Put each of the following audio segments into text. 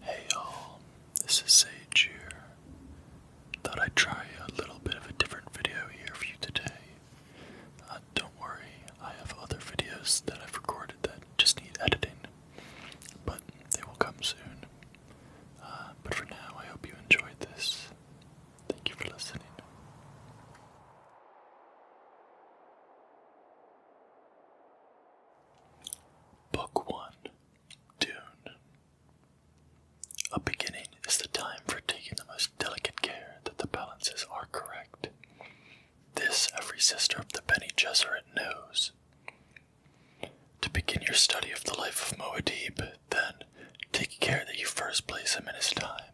Hey y'all, this is Sage here. Thought I'd try a little bit of a different video here for you today. Uh, don't worry, I have other videos that I've recorded that just need editing, but they will come soon. Uh, but for now, I hope you enjoyed this. Thank you for listening. Book 1 Dune. A beginning is the time for taking the most delicate care that the balances are correct. This every sister of the Bene Gesserit knows. To begin your study of the life of Moadib, then, take care that you first place him in his time.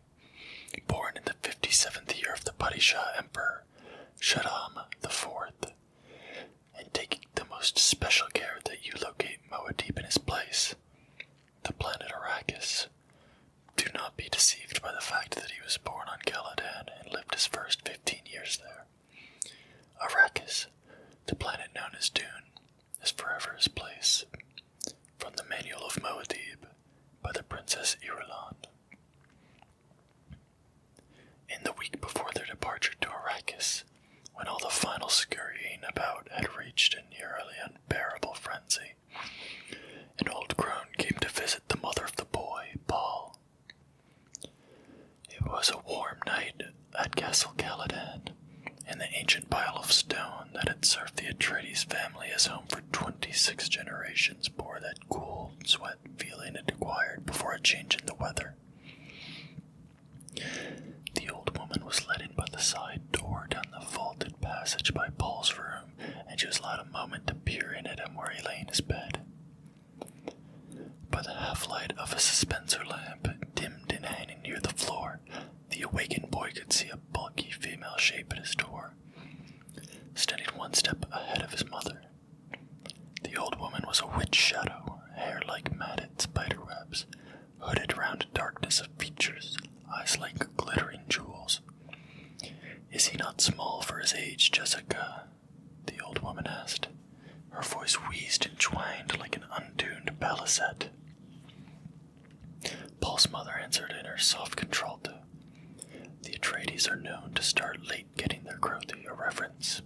Born in the 57th year of the Padishah Emperor, Shaddam IV, and taking the most special care that you locate Moadib in his place, the planet Arrakis. Do not be deceived by the fact that he was born on Caladan and lived his first fifteen years there. Arrakis, the planet known as Dune, is forever his place. From the Manual of Moadib by the Princess Irulan. In the week before their departure to Arrakis, when all the final scurrying about had reached a nearly unbearable frenzy, an old crone came to visit the mother of the boy, Paul. It was a warm night at Castle Caladan, and the ancient pile of stone that had served the Atreides family as home for twenty six generations bore that cool sweat feeling it acquired before a change in the weather. The old woman was led in by the side door down the vaulted passage by Paul's room, and she was allowed a moment to peer in at him where he lay in his bed. By the half light of a suspensor lamp, dimmed in hanging near the floor, the awakened boy could see a bulky female shape at his door, standing one step ahead of his mother. The old woman was a witch shadow, hair like matted spiderwebs, hooded round a darkness of features, eyes like glittering jewels. Is he not small for his age, Jessica? The old woman asked. Her voice wheezed and twined like an untuned balisette. Paul's mother answered in her soft contralto. The Atreides are known to start late getting their crew your reference.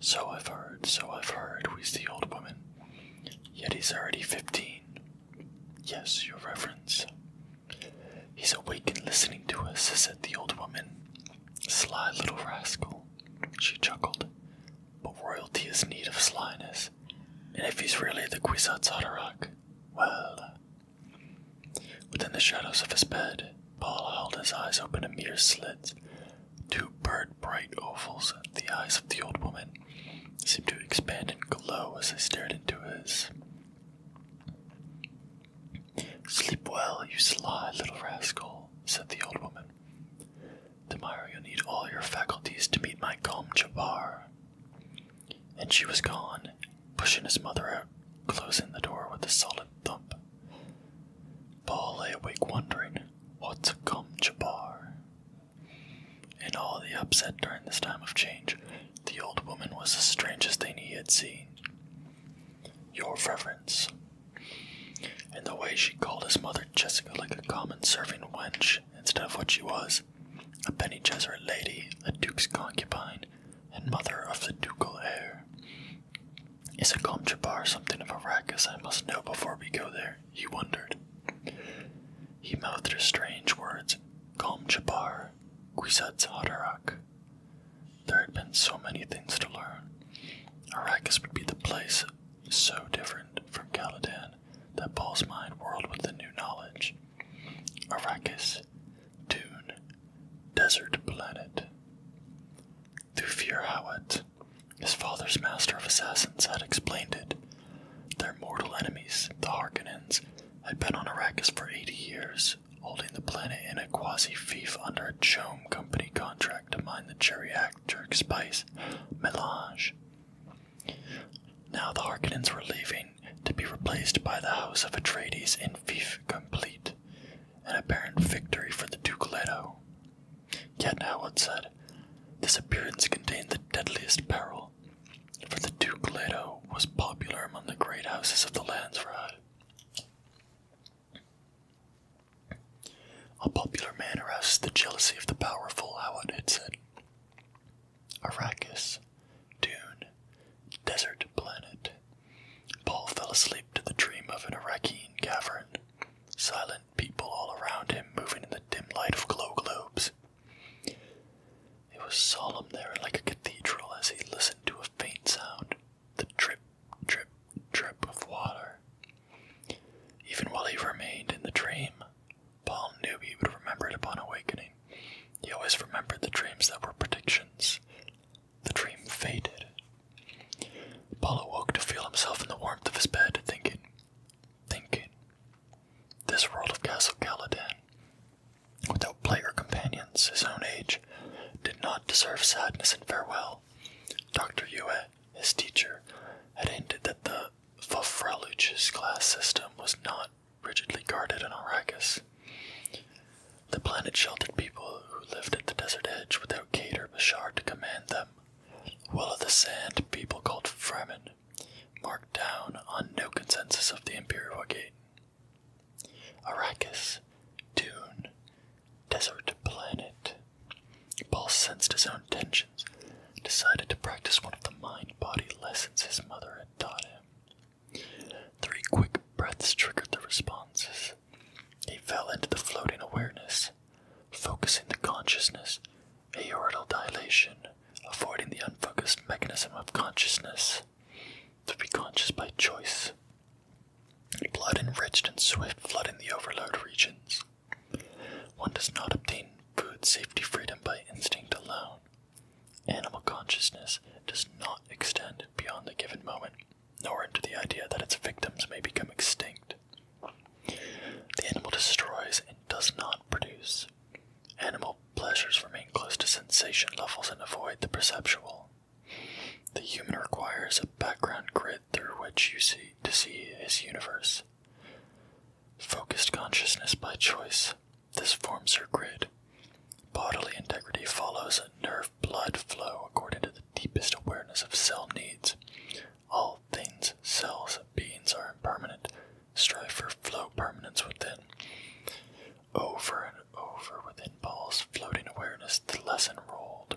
So I've heard, so I've heard, wheezed the old woman. Yet he's already fifteen. Yes, your reverence. He's awake and listening to us, said the old woman. Sly little rascal, she chuckled. But royalty is need of slyness, and if he's really the Kwisatz Haderach, well, Within the shadows of his bed, Paul held his eyes open a mere slit, Two burnt bright ovals, the eyes of the old woman, seemed to expand and glow as they stared into his. Sleep well, you sly little rascal, said the old woman. Tomorrow you'll need all your faculties to meet my calm Jabbar. And she was gone, pushing his mother out, closing the door with a solid thump. Paul lay awake wondering what to come to bar. In all the upset during this time of change, the old woman was the strangest thing he had seen. Your reverence. And the way she called his mother Jessica like a common serving wench instead of what she was a penny Jesuit lady, a duke's concubine, and mother of the ducal heir. Is a Comchabar something of a ruckus I must know before we go there? He wondered. He mouthed her strange words, Comchabar, Guisat's Hotarak. There had been so many things to learn. Arrakis would be the place so different from Caladan that Paul's mind whirled with the new knowledge. Arrakis, Dune, desert planet. Thufir Hawat, his father's master of assassins, had explained it. Their mortal enemies, the Harkonnens, had been on Arrakis for 80 years, holding the planet in a quasi-fief under a Chome company contract to mine the geriatric spice, melange. Now the Harkonnens were leaving, to be replaced by the House of Atreides in fief complete, an apparent victory for the Duke Leto. Yet Howard said, this appearance contained the deadliest peril, for the Duke Leto was popular among the great houses of the Landsrad. A popular man arouses the jealousy of the powerful, Howard had said. Arrakis, Dune, Desert Planet. Paul fell asleep to the dream of an Iraqi cavern, silent people all around him moving in the dim light of glow globes. It was solemn there like a cathedral as he listened to a faint sound, the drip, drip, drip of water. Even while he remained in the dream, Paul knew he would remember it upon awakening, he always remembered the dreams that were predictions. The dream faded. Paul awoke to feel himself in the warmth of his bed, thinking, thinking. This world of Castle Caladan, without play or companions his own age, did not deserve sadness and farewell. Dr. Yue, his teacher, had hinted that the Fofraluch's class system was not rigidly guarded on Arrakis. The planet sheltered people who lived at the desert edge without Kate or Bashar to command them, while of the sand, people called Fremen, marked down on no consensus of the Imperial Gate. Arrakis, Dune, Desert Planet. Paul sensed his own tensions, decided to practice one of the mind body lessons his mother had taught him. Three quick breaths triggered the responses. He fell into the floating awareness, focusing the consciousness, aortal dilation, avoiding the unfocused mechanism of consciousness. To be conscious by choice. Blood enriched and swift flooding the overload regions. One does not obtain food safety freedom by instinct alone, Animal consciousness does not extend beyond the given moment, nor into the idea that its victims may become extinct. The animal destroys and does not produce. Animal pleasures remain close to sensation levels and avoid the perceptual. The human requires a background grid through which you see to see his universe. Focused consciousness by choice. This forms her grid, Bodily integrity follows nerve blood flow according to the deepest awareness of cell needs. All things, cells, beings are impermanent. Strive for flow permanence within. Over and over within Paul's floating awareness, the lesson rolled.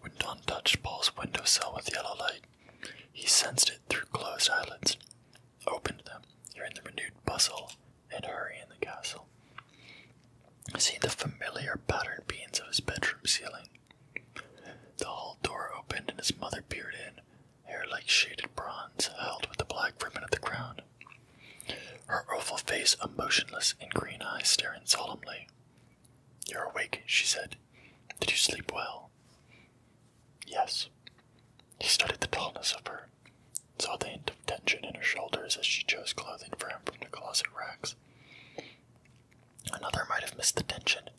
When dawn touched Paul's window windowsill with yellow light, he sensed it through closed eyelids, opened them, in the renewed bustle and hurry in the castle. See the familiar patterned beams of his bedroom ceiling. The hall door opened and his mother peered in, hair like shaded bronze held with the black ribbon at the crown. Her oval face emotionless and green eyes staring solemnly. You're awake, she said. Did you sleep well? Yes. He studied the tallness of her, saw the hint of tension in her shoulders as she chose clothing for him from the closet racks. Another might have missed the tension,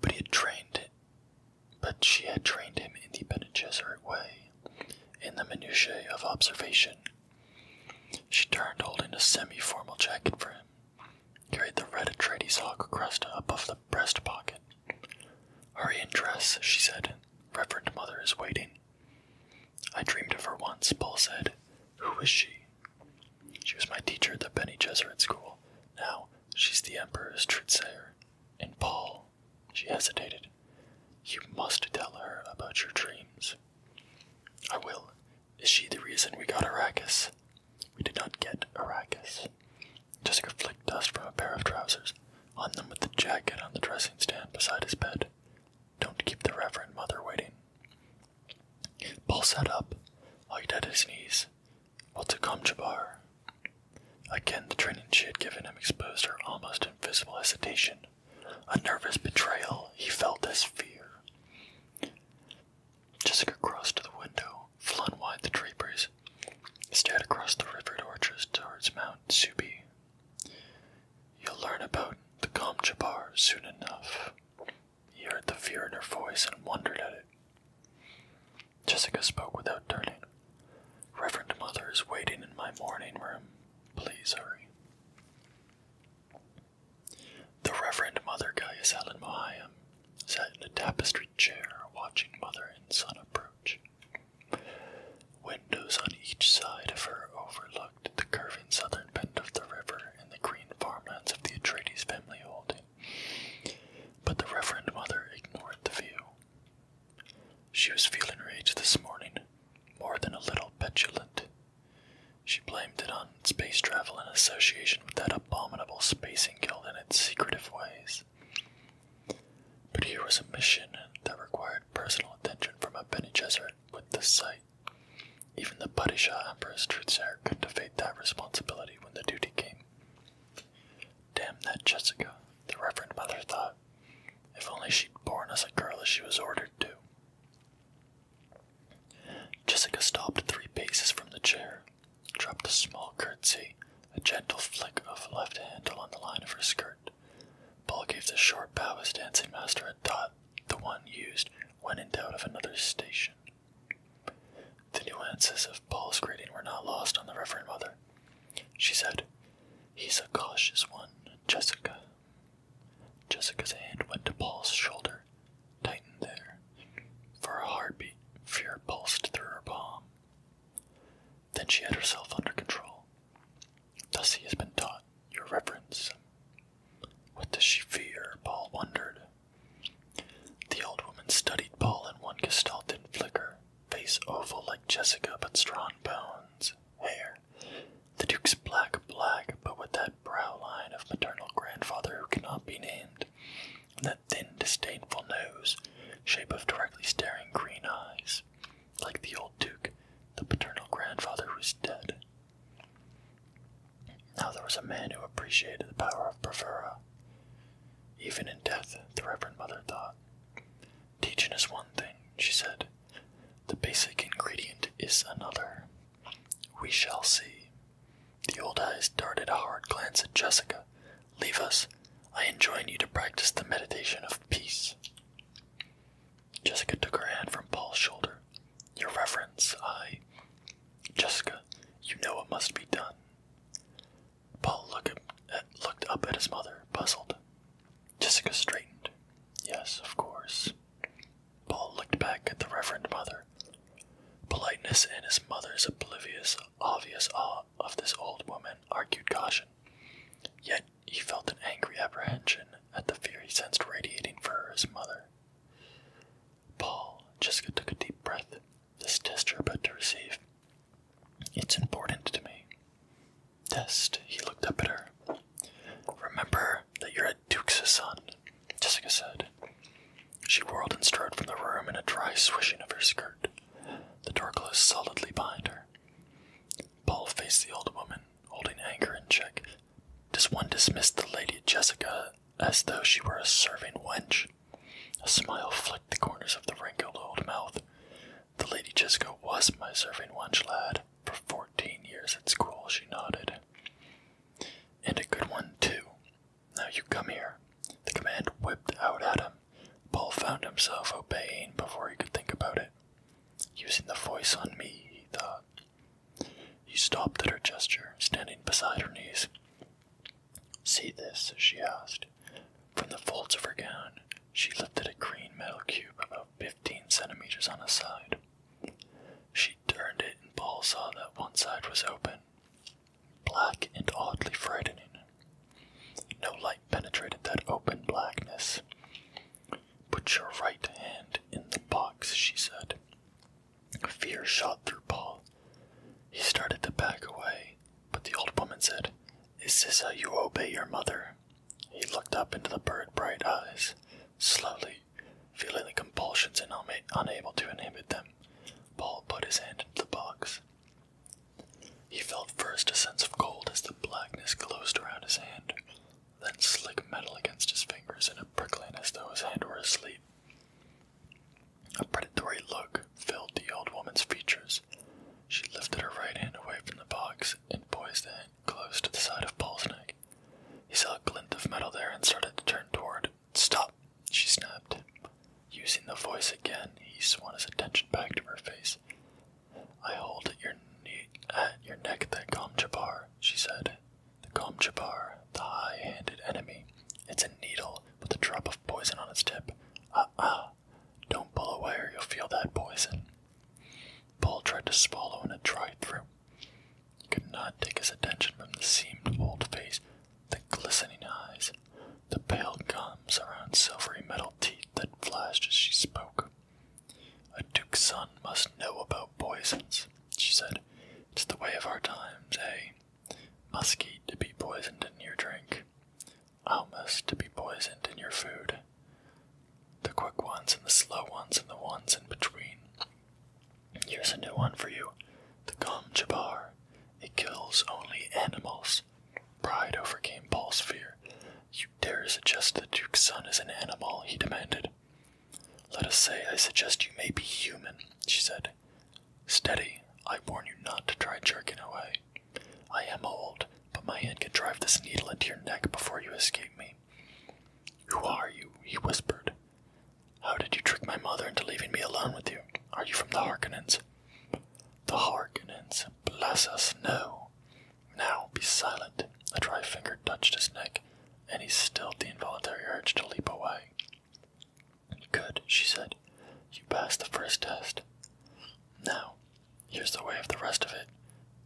but he had trained but she had trained him in the Bene way, in the minutiae of observation. She turned, holding a semi-formal jacket for him, carried the red Atreides hawk crest above the breast pocket. Hurry and dress, she said. Reverend Mother is waiting. I dreamed of her once, Paul said. Who is she? She was my teacher at the Benny Jesuit School. Now she's the Emperor's truth-sayer. And Paul, she hesitated. You must tell her about your dreams. I will. Is she the reason we got Arrakis? We did not get Arrakis. Jessica flicked dust from a pair of trousers, on them with the jacket on the dressing stand beside his bed. Don't keep the Reverend Mother waiting. Paul sat up, hugged at his knees. What's come, Jabar? Again, the training she had given him exposed her almost invisible hesitation. A nervous betrayal, he felt as fear. Jessica crossed to the window, flung wide the draperies eyes, stared across the river torches towards Mount Subi. You'll learn about the Kamchabar soon enough. He heard the fear in her voice and wondered at it. Jessica spoke without turning. Reverend Mother is waiting in my morning room. Please hurry. The Reverend Mother Gaius Allen Mahayam sat in a tapestried chair watching Mother and Son approach. Windows on each side of her overlooked the curving southern bend of the river and the green farmlands of the Atreides family holding. But the Reverend Mother ignored the view. She was feeling rage this morning, more than a little petulant. She blamed it on space travel and association with that abominable spacing guild and its secretive ways. But here was a mission that required personal attention from a Bene with the sight. Even the Padishah Empress truth couldn't evade that responsibility when the duty came. Damn that Jessica, the Reverend Mother thought. If only she'd born us a girl as she was ordered to. Jessica stopped three paces from the chair, dropped a small curtsy, a gentle flick of the left hand along the line of her skirt. Paul gave the short bow his dancing master had taught, the one used when in doubt of another's station. The nuances of Paul's greeting were not lost on the Reverend Mother. She said, He's a cautious one, Jessica. Jessica's hand went to Paul's shoulder, tightened there. For a heartbeat, fear pulsed through her palm. Then she had herself under control. Thus he has been taught, your reverence. What does she fear? Paul wondered. The old woman studied Paul in one gestalt and flicker, face oval like Jessica but strong bones, hair. The Duke's black, black, but with that brow line of maternal grandfather who cannot be named that thin, disdainful nose, shape of directly staring green eyes, like the old duke, the paternal grandfather who is dead. Now there was a man who appreciated the power of bravura. Even in death, the Reverend Mother thought. Teaching is one thing, she said. The basic ingredient is another. We shall see. The old eyes darted a hard glance at Jessica, leave us. I enjoin you to practice the meditation of peace. Jessica took her hand from Paul's shoulder. Your reverence, I. Jessica, you know it must be done. Paul look looked up at his mother, puzzled. Jessica straightened. Yes, of course. Paul looked back at the Reverend Mother. Politeness and his mother's oblivious obvious awe of this old woman argued caution. Yet he felt an angry apprehension at the fear he sensed radiating from his mother. Paul, Jessica took a deep breath. This test you're about to receive. It's important to me. Test, he looked up at her. Remember that you're a duke's son, Jessica said. She whirled and strode from the room in a dry swishing of her skirt. The door closed solidly behind her. Paul faced the old woman, holding anger in check. Does one dismiss the Lady Jessica as though she were a serving wench? A smile flicked the corners of the wrinkled old mouth. The Lady Jessica was my serving wench, lad. For fourteen years at school, she nodded. And a good one, too, now you come here. The command whipped out at him. Paul found himself obeying before he could think about it. Using the voice on me, he thought. He stopped at her gesture, standing beside her knees. See this? she asked. From the folds of her gown, she lifted a green metal cube about fifteen centimeters on a side. She turned it, and Paul saw that one side was open black and oddly frightening. No light penetrated that open blackness. Put your right hand in the box, she said. Fear shot through Paul. He started to back away, but the old woman said, Is this how you obey your mother? He looked up into the bird bright eyes, slowly, feeling the compulsions and unable to inhibit them. Paul put his hand into the box. He felt first a sense of cold as the blackness closed around his hand, then slick metal against his fingers and a prickling as though his hand were asleep. A predatory look filled the old woman's features. She lifted her right hand away from the box and poised it close to the side of Paul's neck. He saw a glint of metal there and started to turn toward Stop, she snapped. Using the voice again, he swung his attention back to her face. I hold your, knee, at your neck the Gomjabar, she said. The Gomjabar, the high handed enemy. It's a needle with a drop of poison on its tip. Ah uh ah! -uh. Don't pull away or you'll feel that poison. Paul tried to swallow and it dried through. He could not take his attention from the seamed old face the glistening eyes, the pale gums around silvery metal teeth that flashed as she spoke. A duke's son must know about poisons, she said. It's the way of our times, eh? Muskie to be poisoned in your drink, almas to be poisoned in your food. The quick ones and the slow ones and the ones in between. Here's a new one for you the jabar, It kills only animals. Pride overcame Paul's fear. You dare suggest the Duke's son is an animal, he demanded. Let us say I suggest you may be human, she said. Steady, I warn you not to try jerking away. I am old, but my hand can drive this needle into your neck before you escape me. Who are you? he whispered. How did you trick my mother into leaving me alone with you? Are you from the Harkonnens? The Harkonnens, bless us, no. Now, be silent. A dry finger touched his neck, and he stilled the involuntary urge to leap away. Good, she said. You passed the first test. Now, here's the way of the rest of it.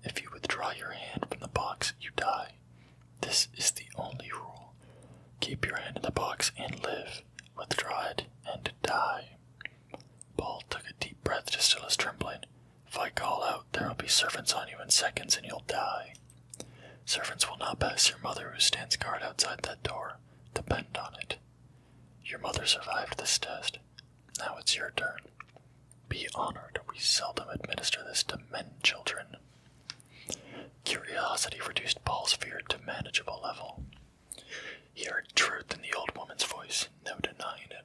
If you withdraw your hand from the box, you die. This is the only rule. Keep your hand in the box and live withdraw it, and die. Paul took a deep breath to still his trembling. If I call out, there will be servants on you in seconds, and you'll die. Servants will not pass your mother who stands guard outside that door. Depend on it. Your mother survived this test. Now it's your turn. Be honored. We seldom administer this to men children. Curiosity reduced Paul's fear to manageable level. He heard truth in the old woman's voice, no denying it.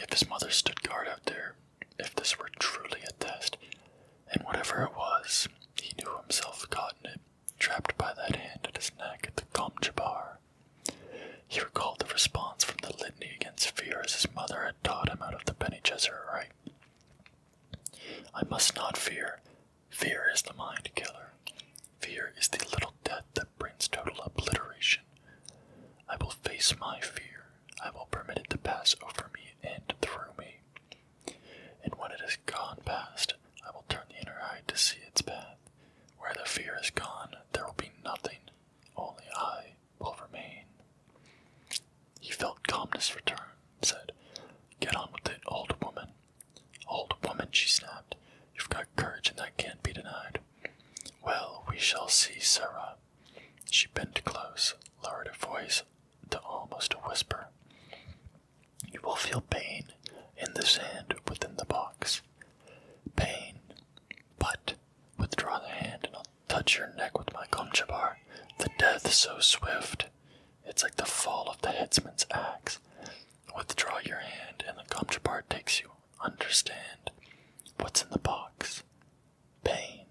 If his mother stood guard out there, if this were truly a test, and whatever it was, he knew himself caught in it, trapped by that hand at his neck at the Kamjabar. He recalled the response from the litany against fear as his mother had taught him out of the Bene Gesserit rite. I must not fear, Fear is the mind killer. Fear is the little death that brings total obliteration. I will face my fear. I will permit it to pass over me and through me. And when it has gone past, I will turn the inner eye to see its path. Where the fear is gone, there will be nothing. Only I will remain. He felt calmness return, said, Get on with it, old woman. Old woman, she snapped, you've got courage and that can't be denied. Well, we shall see, Sarah. She bent close, lowered her voice to almost a whisper. You will feel pain in the sand within the box. Pain. But withdraw the hand and I'll touch your neck with my kumchabar. the death so swift. It's like the fall of the headsman's axe. Withdraw your hand, and the counterpart takes you. Understand what's in the box. Pain.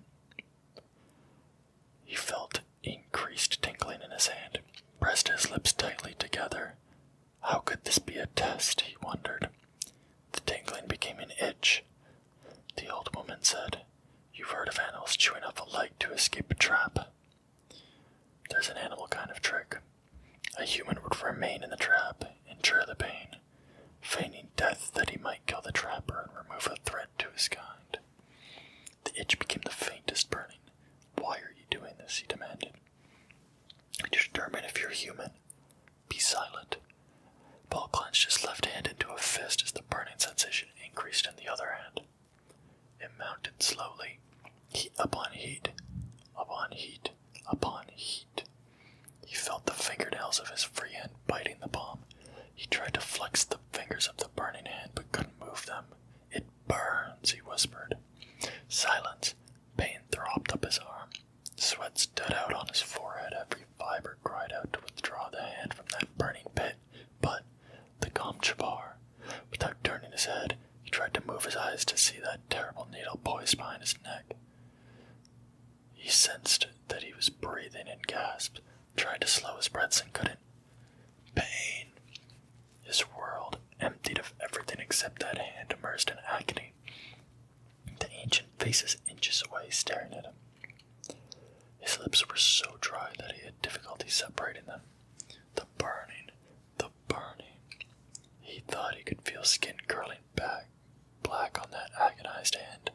He felt increased tingling in his hand, pressed his lips tightly together. How could this be a test? he wondered. The tingling became an itch. The old woman said, You've heard of animals chewing up a leg to escape a trap. Does an animal kind of trick. A human would remain in the trap, endure the pain, feigning death that he might kill the trapper and remove a threat to his kind. The itch became the faintest burning. Why are you doing this? he demanded. Determine if you're human. Be silent. Paul clenched his left hand into a fist as the burning sensation increased in the other hand. It mounted slowly, heat upon heat, upon heat, upon heat. He felt the fingernails of his free hand biting the palm. He tried to flex the fingers of the burning hand but couldn't move them. It burns, he whispered. Silence. Pain throbbed up his arm. Sweat stood out on his forehead. Every fiber cried out to withdraw the hand from that burning pit but the Comchabar, without turning his head, he tried to move his eyes to see that terrible needle poised behind his neck. He sensed that he was breathing and gasped, tried to slow his breaths and couldn't. Pain. His world, emptied of everything except that hand immersed in agony. The ancient faces inches away, staring at him. His lips were so dry that he had difficulty separating them. The burning, the burning. He thought he could feel skin curling back, black on that agonized hand,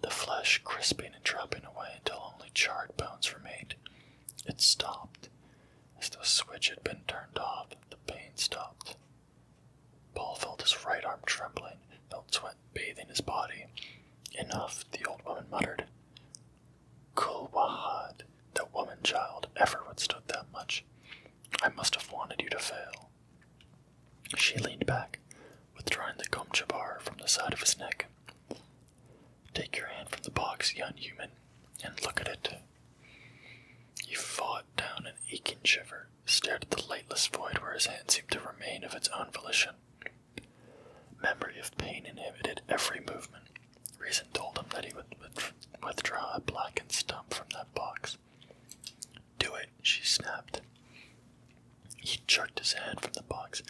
the flesh crisping and dropping away until only charred bones remained. It stopped. As the switch had been turned off, the pain stopped. Paul felt his right arm trembling, felt sweat bathing his body. Enough, the old woman muttered. Kulwahad, the woman child, ever withstood that much. I must have wanted you to fail. She leaned back, withdrawing the Gomchabar from the side of his neck. Take your hand from the box, young human, and look at it. He fought down an aching shiver, stared at the lightless void where his hand seemed to remain of its own volition. Memory of pain inhibited every movement. Reason told him that he would withdraw a blackened stump from that box. Do it, she snapped. He jerked his hand from the box,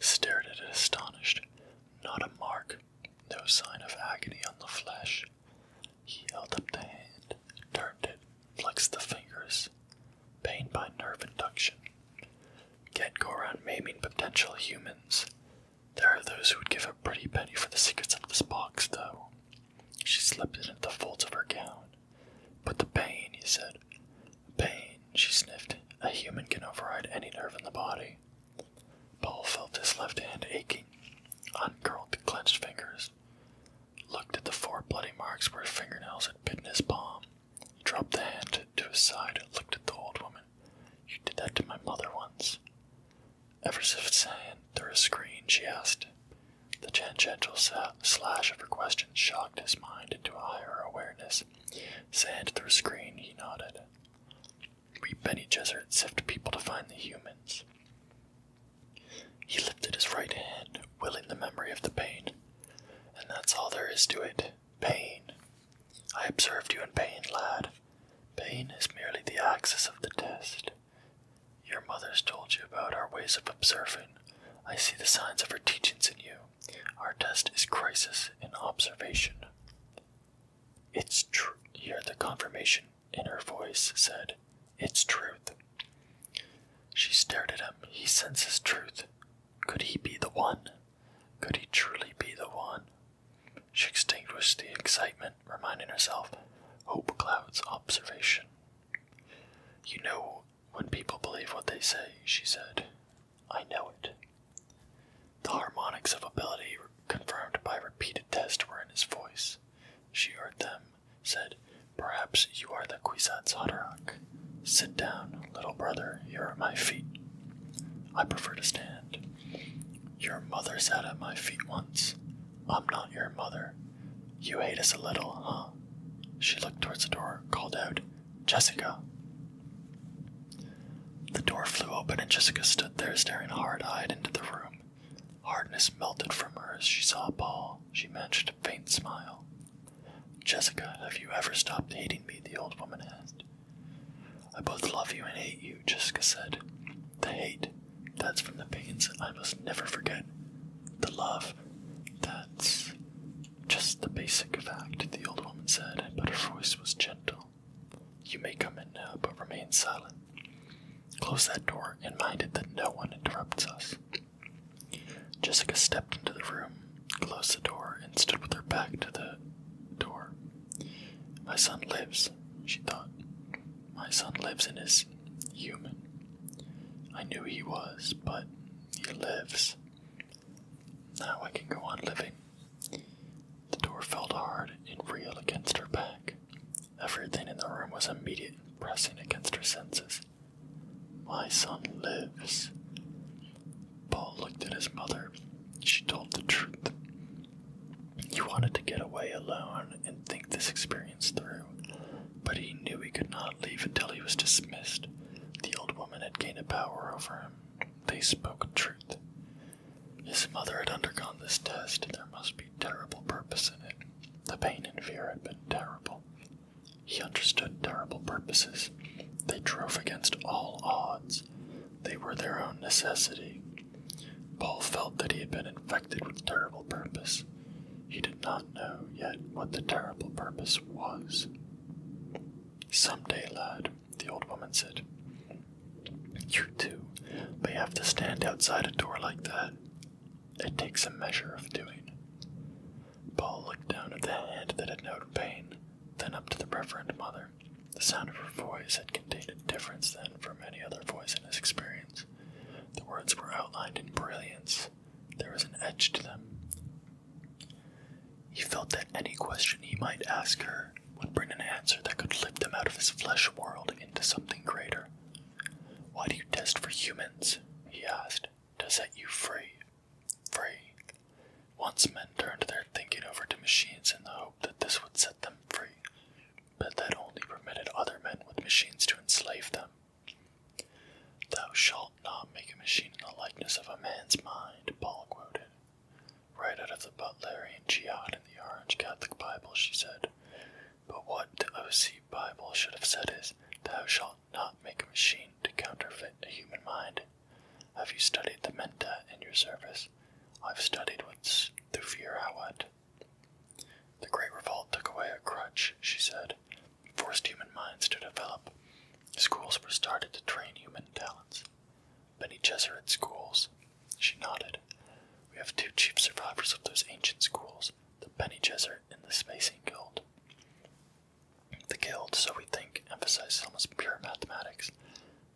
stared at it astonished. Not a mark, no sign of agony on the flesh. He held up the hand, turned it, flexed the fingers. Pain by nerve induction, Get go around maiming potential humans. There are those who would give a pretty penny for the secrets of this box, though. She slipped it into the folds of her gown. But the pain, he said. Pain, she sniffed. A human can override any nerve in the body. Paul felt his left hand aching, uncurled the clenched fingers, looked at the four bloody marks where fingernails had bitten his palm, he dropped the hand to his side and looked at the old woman. You did that to my mother once. Ever since then, through a screen, she asked. The tangential slash of her question shocked his mind into a higher awareness. Sand through a screen, he nodded. We Benny Gesserit sift people to find the humans. He lifted his right hand, willing the memory of the pain. And that's all there is to it. Pain. I observed you in pain, lad. Pain is merely the axis of the test. Your mother's told you about our ways of observing. I see the signs of her teachings in you. Our test is crisis in observation. It's true. Here, the confirmation in her voice said, It's truth. She stared at him. He senses truth. Could he be the one? Could he truly be the one? She extinguished the excitement, reminding herself Hope Cloud's observation. You know when people believe what they say, she said. I know it. The harmonics of ability confirmed by repeated tests were in his voice. She heard them, said, Perhaps you are the Kwisatz Haderach. Sit down, little brother, you're at my feet. I prefer to stand. Your mother sat at my feet once. I'm not your mother. You hate us a little, huh? She looked towards the door, called out, Jessica. The door flew open, and Jessica stood there staring hard eyed into the room. Hardness melted from her as she saw Paul. She managed faint smile. Jessica, have you ever stopped hating me? the old woman asked. I both love you and hate you, Jessica said. The hate, that's from the pains I must never forget. The love, that's just the basic fact, the old woman said, but her voice was gentle. You may come in now, but remain silent. Close that door and mind it that no one interrupts us. Jessica stepped into the room, closed the door, and stood with her back to the door. My son lives, she thought. My son lives and is human. I knew he was, but he lives. Now I can go on living. The door felt hard and real against her back. Everything in the room was immediate pressing against her senses. My son lives. Paul looked at his mother. She told the truth. He wanted to get away alone and think this experience through, but he knew he could not leave until he was dismissed. The old woman had gained a power over him. They spoke truth. His mother had undergone this test, and there must be terrible purpose in it. The pain and fear had been terrible. He understood terrible purposes. They drove against all odds. They were their own necessity. Paul felt that he had been infected with terrible purpose. He did not know yet what the terrible purpose was. Some day, lad, the old woman said. You too, but you have to stand outside a door like that. It takes a measure of doing. Paul looked down at the hand that had known pain, then up to the Reverend Mother. The sound of her voice had contained a difference then from any other voice in his experience. The words were outlined in brilliance. There was an edge to them. He felt that any question he might ask her would bring an answer that could lift him out of his flesh world into something greater. Why do you test for humans? he asked, to set you free free. Once men turned their thinking over to machines in the hope that this would set them free, but that only permitted other men with machines to enslave them. Thou shalt not make a machine in the likeness of a man's mind, Paul quoted. Right out of the Butlerian Jihad in the Orange Catholic Bible, she said. But what the OC Bible should have said is, Thou shalt not make a machine to counterfeit a human mind. Have you studied the menta in your service? I've studied what's the fear I what. The Great Revolt took away a crutch, she said, forced human minds to develop. Schools were started to train human talents. Many Jesuit schools. She nodded. We have two chief survivors of those ancient schools, the Penny Jesuit and the Spaceing Guild. The guild, so we think, emphasizes almost pure mathematics.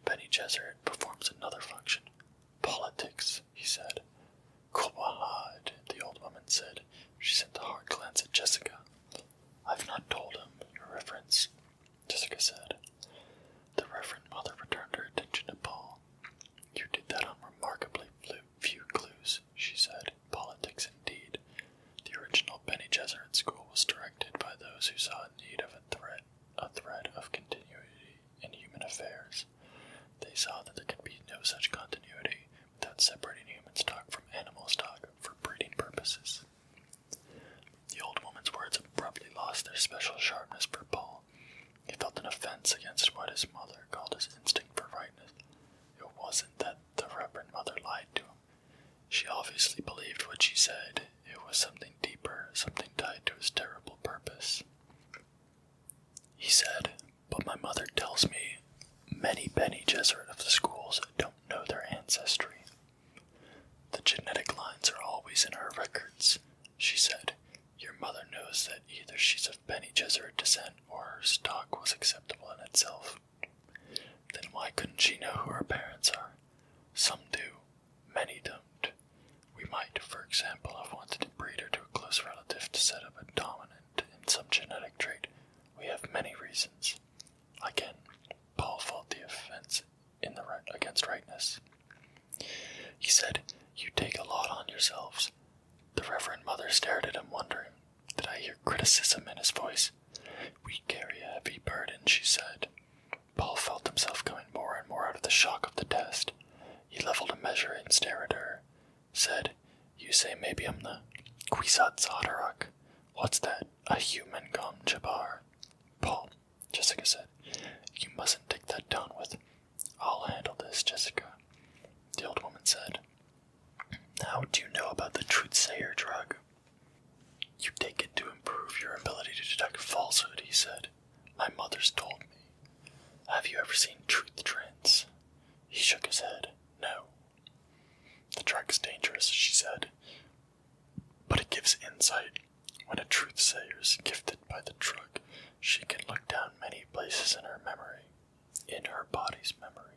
Benny Gesserit performs another function. Politics, he said. Quahad, the old woman said. She sent a hard glance at Jessica. I've not told him, your reference, Jessica said. The Reverend Mother returned her attention to Paul. You did that on remarkably few clues, she said. Politics indeed. The original Benny Gesserit school was directed by those who saw a need of a thread, a thread of continuity in human affairs. They saw that there could be no such continuity without separating human stock from animal stock for breeding purposes. The old woman's words abruptly lost their special sharpness for Paul. He felt an offense against what his mother called his instinct for rightness. It wasn't that the Reverend Mother lied to him. She obviously believed what she said. It was something deeper, something tied to his terrible purpose. He said, But my mother tells me many Benny Jesuit of the schools don't know their ancestry. The genetic lines are always in her records, she said. Your mother knows that either she's of Benny Jesuit descent or her stock was acceptable in itself. Then why couldn't she know who her parents are? Some do, many don't. We might, for example, have wanted to breed her to a close relative to set up a dominant in some genetic trait. We have many reasons. Again, Paul faulted the offense in the against rightness. He said, "You take a lot on yourselves." The Reverend Mother stared at him, wondering. Did I hear criticism in his voice? We carry a heavy burden, she said. Paul felt himself coming more and more out of the shock of the test. He leveled a measure and stared at her. Said, You say maybe I'm the Kwisatz Haderach. What's that? A human gum jabar. Paul, Jessica said, You mustn't take that down with. I'll handle this, Jessica. The old woman said, how do you know about the truthsayer drug? You take it to improve your ability to detect falsehood, he said. My mother's told me. Have you ever seen truth trends? He shook his head. No. The drug's dangerous, she said, but it gives insight. When a truthsayer is gifted by the drug, she can look down many places in her memory in her body's memory.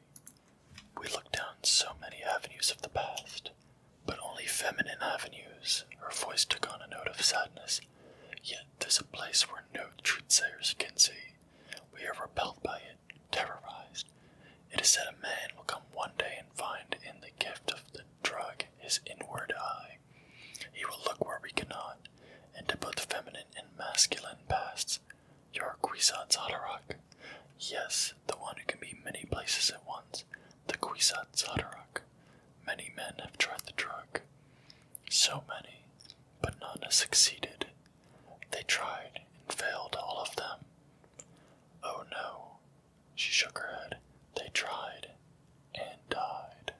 We look down so many avenues of the past, but only feminine avenues. Her voice took on a note of sadness. Yet there's a place where no truthsayers can see. We are repelled by it, terrorized. It is said a man will come one day and find in the gift of the drug his inward eye. He will look where we cannot, into both feminine and masculine pasts. Your Kwisatz Haderach. Yes, the one who can be many places at once, the Kwisatz Haderach. Many men have tried the drug. So many, but none has succeeded. They tried and failed, all of them. Oh no, she shook her head. They tried and died.